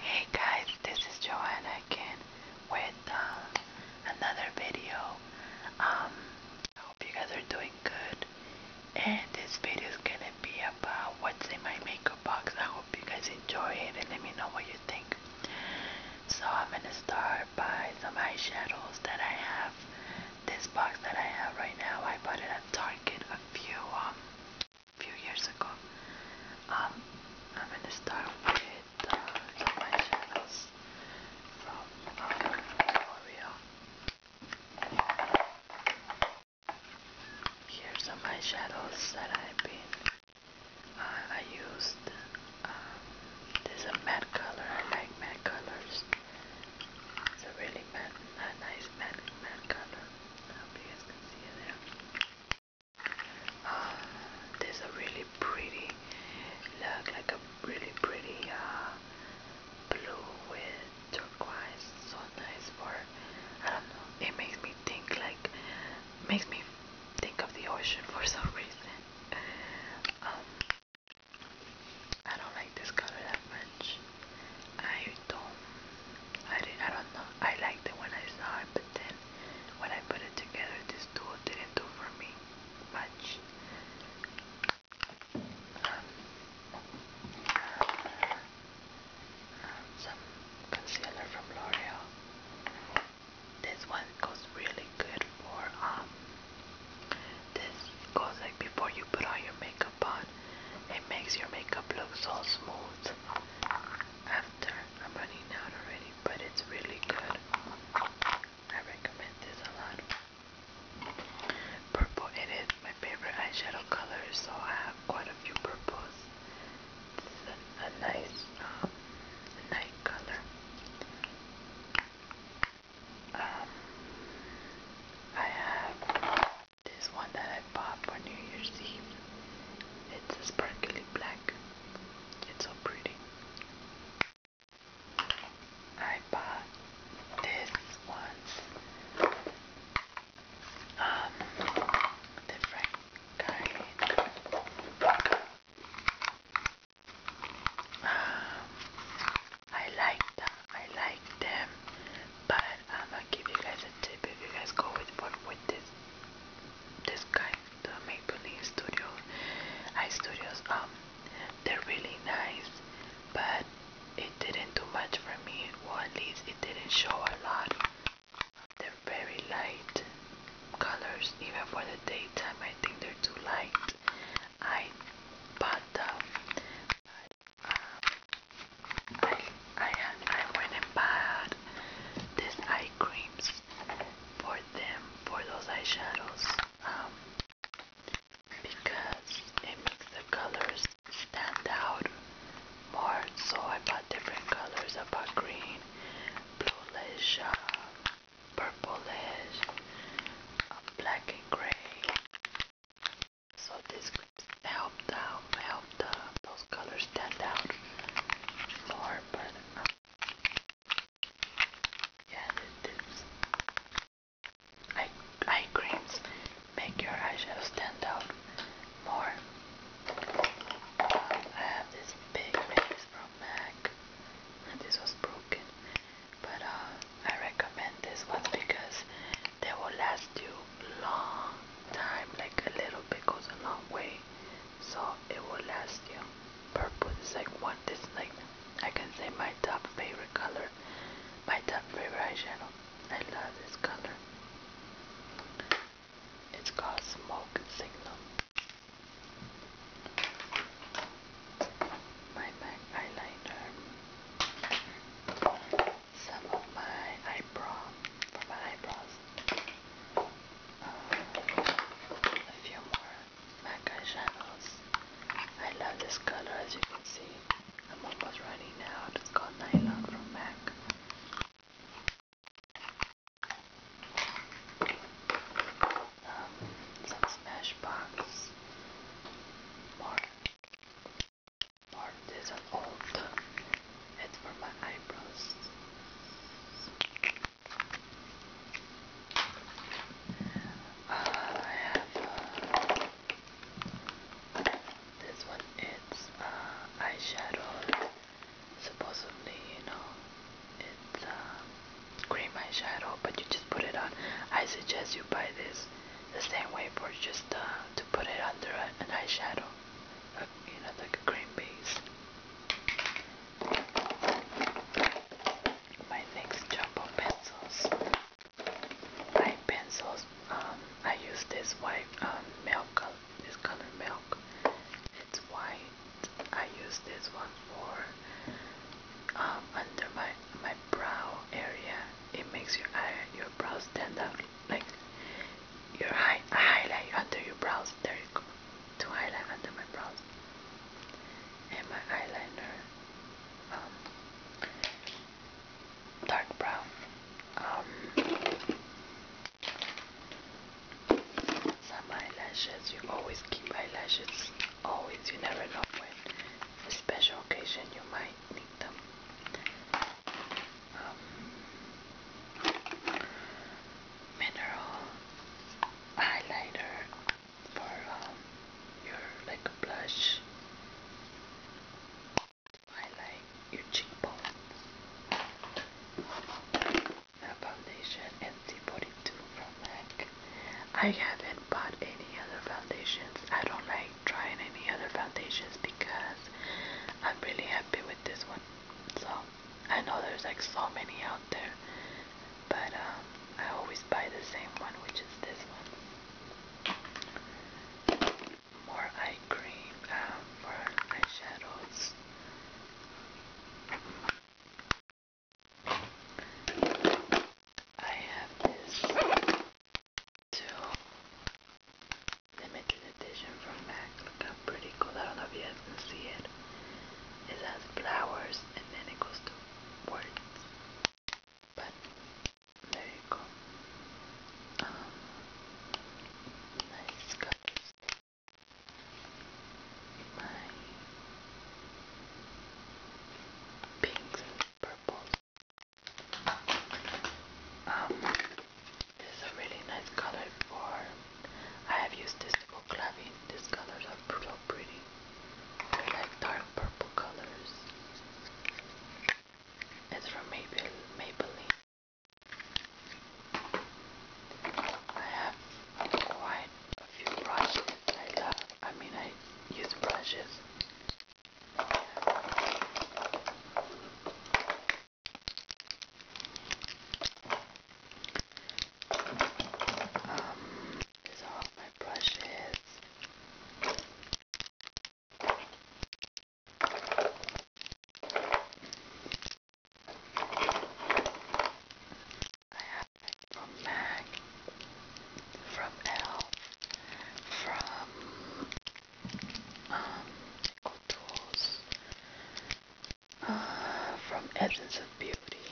Hey guys, this is Joanna again with um, another video. Um, I hope you guys are doing good. And this video is gonna be about what's in my makeup box. I hope you guys enjoy it and let me know what you think. So I'm gonna start by some eyeshadows that I have. This box that I have right now, I bought it at Target a few um, a few years ago. Um, I'm gonna start with uh, eyeshadows from uh, Here's some eyeshadows that I've been. Uh, I used. Um, this is a matte color. I like matte colors. It's a really matte, nice matte matte color. I hope um, there's a really pretty look, like a really pretty uh, blue with turquoise. So nice for I don't know. It makes me think like makes me think of the ocean for some reason. Um, I don't like this color that much. I don't, I, I don't know, I liked it when I saw it, but then when I put it together, this duo didn't do for me much. Um, some concealer from L'Oreal. This one goes really good for um. This goes like before you put all your makeup on. It makes your makeup look so smooth after. I'm running out already, but it's really good. I recommend this a lot. Purple, it is my favorite eyeshadow color, so I have quite a few purples. It's a, a nice um, color. Um, I have this one that I bought for New Year's Eve. It's a sparkly black. It's so pretty. I bought this one. Um, different kind. Um, I like them. I like them but I'm gonna give you guys a tip if you guys go with what with this this kind the make studio eye studios um they're really nice but it didn't do much for me or at it didn't show a lot they're very light colors even for the daytime I think they're too light I bought them I I went and bought these eye creams for them for those eyeshadows um, because it makes the colors stand out more. So I bought different colors. I bought green, bluish, uh, purplish, uh, black and gray, so these could help the help those colors stand out more, uh, yeah, this eye creams make your eyeshadow stand out more. Uh, I have this big piece from MAC. This was broken, but uh, I recommend this one because they will last last long time, like a little bit goes a long way. So it will last you. Purple is like one this is like I can say my top favorite color. My top favorite eyeshadow. I love this color. It's called Smoke Signal. My MAC eyeliner some of my eyebrow for my eyebrows. Uh, a few more MAC eyeshadows. I love this color as you can see. I'm almost running out. It's called Nylon from MAC. Um, some Smashbox. More this Parmesan old It's for my eyebrows. Uh, I have this one. It's uh, eyeshadow. Supposedly, you know, it's uh, cream eyeshadow, but you just put it on. I suggest you buy this the same way for just uh, to put it under an eyeshadow but you know, like a green peas. My next job jumbo pencils. My pencils, um, I use this white um, milk, this color milk. It's white. I use this one for um, under my my brow area. It makes your eye, your brow stand out. Like your high highlight under your brows. There you go. To highlight under my brows. And my eyeliner. Um, dark brown. Um, some eyelashes. You always keep eyelashes. Always. You never know when. special occasion you might need them um, mineral highlighter for um, your like blush highlight your cheekbones. A foundation NC42 from MAC. I haven't bought any other foundations. I don't like trying any other foundations because I'm really happy with this one. So I know there's like so many out there, but um, I always buy the same one, which is this one. More eye cream um, eyeshadows. I have this to limited edition from MAC. Look how pretty cool. I don't know if you guys can see it. It has flowers and then it goes to words. But there you go. Um, nice colors. My pinks and purples. Um, this is a really nice color for. I have used this for clubbing. These colors are so pretty. They're like dark purple colors. It's from Maybelline. I have quite a few brushes I I mean, I use brushes um, these are all my brushes. I have it from MAC, from ELF, from um, contours uh, from Essence of Beauty,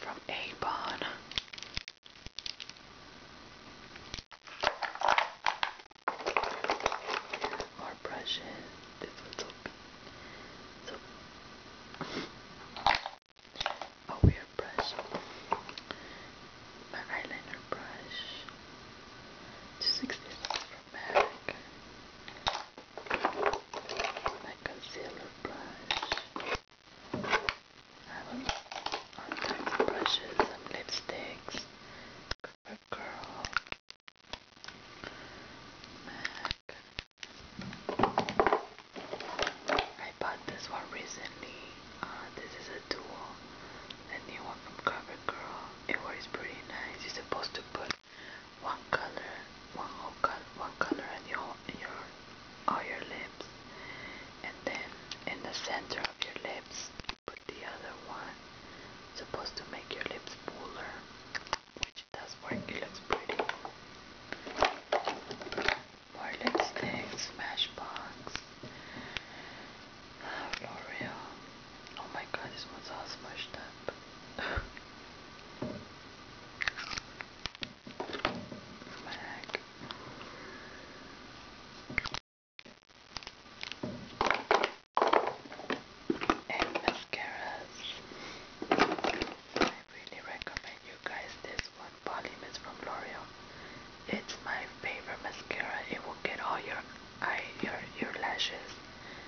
from Avon. More brushes. This one's so, a weird brush my eyeliner brush to 67 from MAC, my concealer brush, I have all kinds of brushes, some lipsticks, MAC. I bought this one recently. Uh, this is a duo the new one from CoverGirl. It works pretty nice. You're supposed to put one color, one whole color, one color on your your your lips, and then in the center of your lips, you put the other one. supposed to make your lips fuller, which does work. It looks pretty. More Smashbox. L'Oreal. Oh my god, this one's all smashed up. Back. And mascaras. I really recommend you guys this one. Volume is from L'Oreal it's my favorite mascara. It will get all your eye, your your lashes.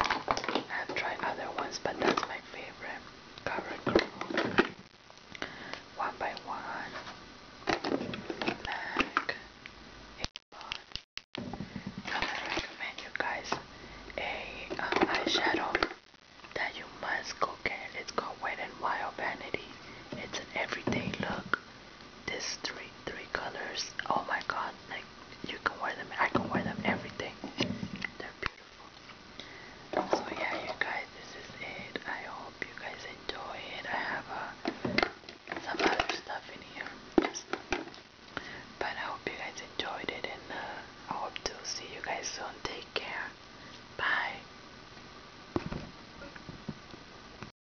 I've tried other ones, but that's my favorite. One by one. i recommend you guys a um, eyeshadow that you must go get. It's called Wet n Wild Vanity. It's an everyday look. This three three colors. Oh my god, like you can wear them, I can wear them everything. They're beautiful. So yeah you guys this is it. I hope you guys enjoy it. I have uh, some other stuff in here. But I hope you guys enjoyed it and uh, I hope to see you guys soon. Take care. Bye.